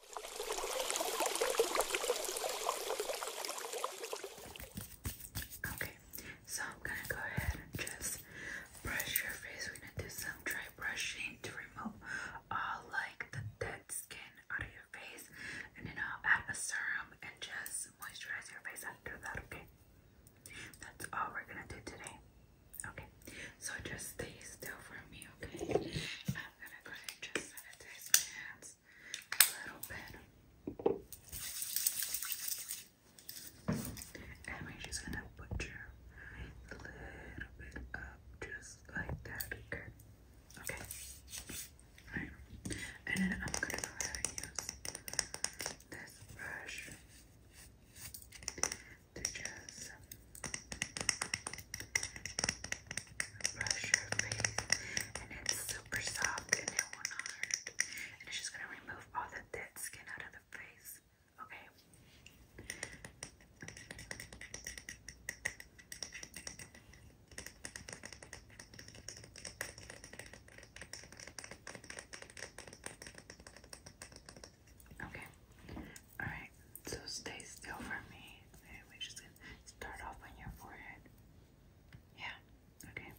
Okay, so I'm gonna go ahead and just brush your face. We're gonna do some dry brushing to remove all like the dead skin out of your face, and then I'll add a serum and just moisturize your face after that. Okay, that's all we're gonna do today. Okay, so just stay still for me, okay? I'm going to just sanitize my hands a little bit. And we're just going to butcher a little bit up, just like that. Okay. Okay. Alright. And then I'm going to go ahead use this brush stitches. Brush your face, and it's super soft and it will And it's just gonna remove all the dead skin out of the face. Okay, Okay. Alright. So stay still for me. we're just gonna start off on your forehead. Yeah. Okay.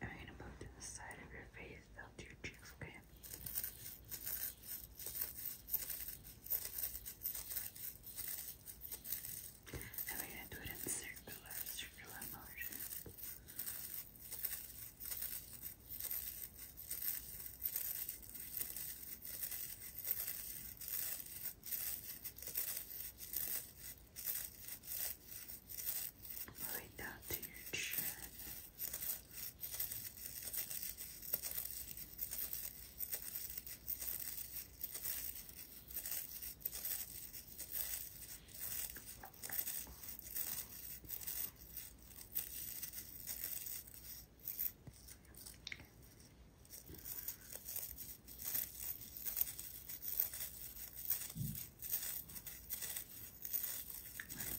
And we gonna put to the side of your face, down to your cheeks, okay? And we're gonna do it in circular, circular motion. Right down to your chin. Right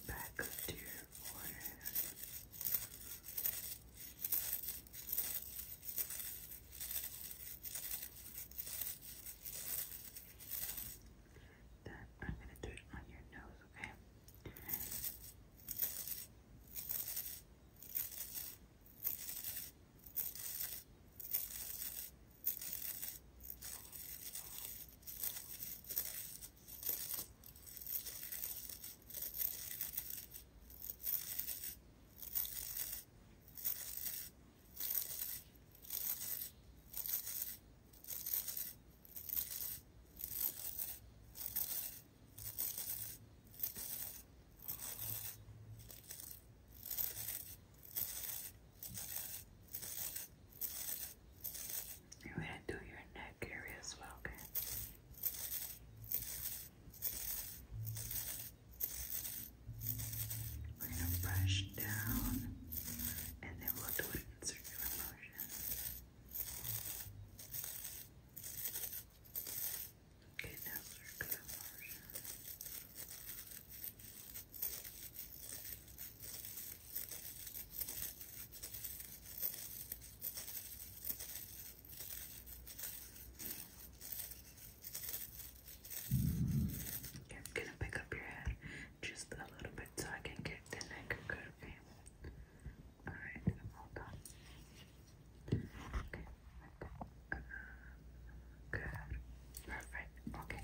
back up to your forehead then I'm gonna do it on your nose, okay? You're to do your neck area as well, Okay. We're going to brush down and then we'll do it in circular motion. Okay, now circular motion. I'm gonna pick up your head just a little bit so I can get the neck good, okay? Alright, hold on. Okay, uh, good. Perfect, Okay,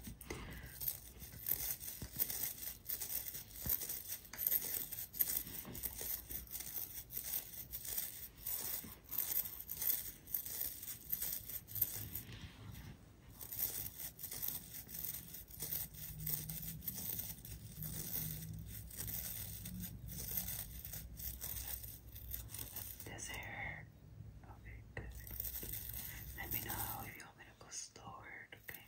this hair. Okay, Let me know if you want me to go stored, okay?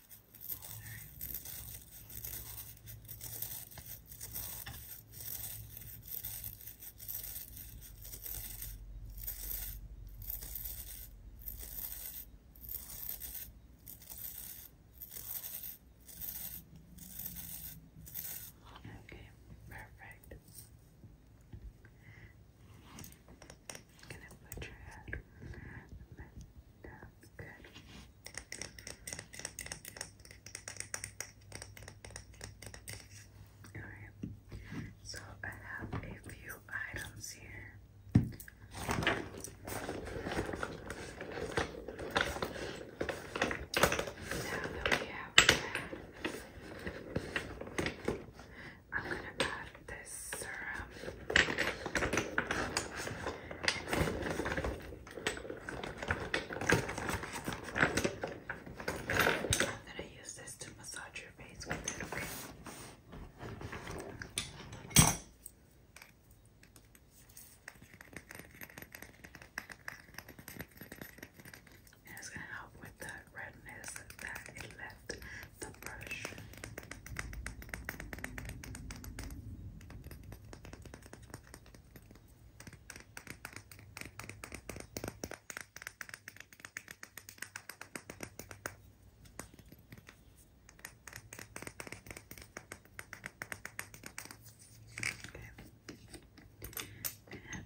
Okay, perfect. i put your head Good. Alright, so I have a few items here. Now that we have that, I'm going to add this serum. I'm gonna use this to massage your face with it, okay? And it's gonna help with the redness that it left the brush. Okay.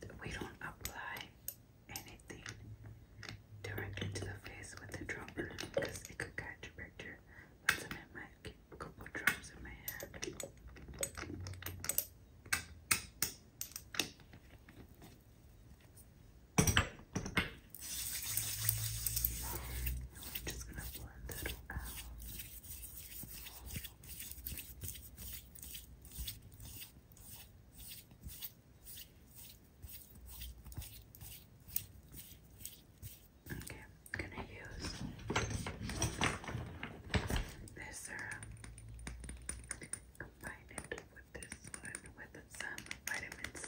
And we don't apply anything directly to the face with the dropper because it could catch bacteria. Once I'm in my couple drops in my hand. I'm just going to blend it out. Okay, I'm gonna use this syrup. Uh, combine it with this one with some vitamin C.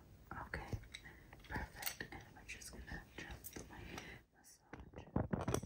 Okay, perfect. And we're just gonna do my massage.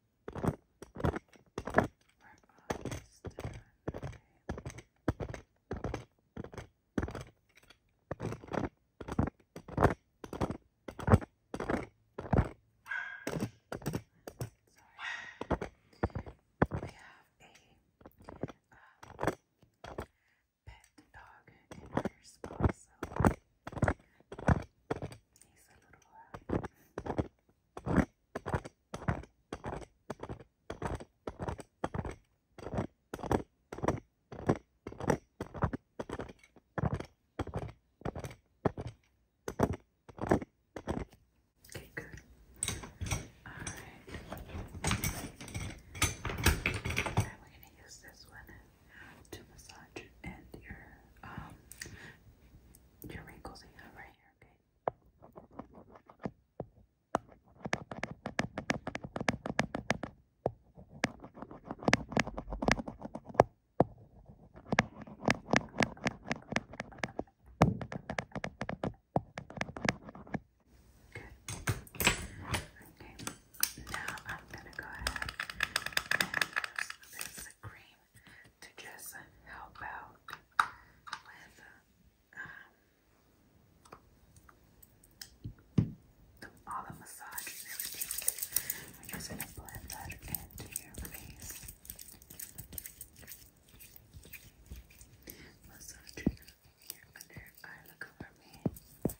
We have a um, pet dog in her spa, so uh, okay, good. right. All right, we're gonna use this one to massage and your um your wrinkles right here, okay? Okay. Now I'm gonna go ahead and use this cream to just help out with the, um, all the massages and We're just gonna blend that into your face. Massage your under eye, look over me, and your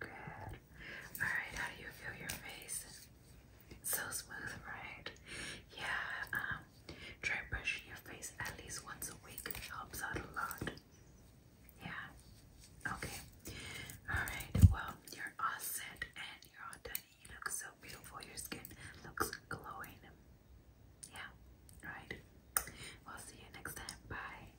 Good. Alright, how do you feel your face? It's so smooth, right? Yeah, um, try brushing your face at least once a week. helps out a lot. Yeah. Okay. Alright, well, you're all and you're all done. You look so beautiful. Your skin looks glowing. Yeah. All right. We'll see you next time. Bye.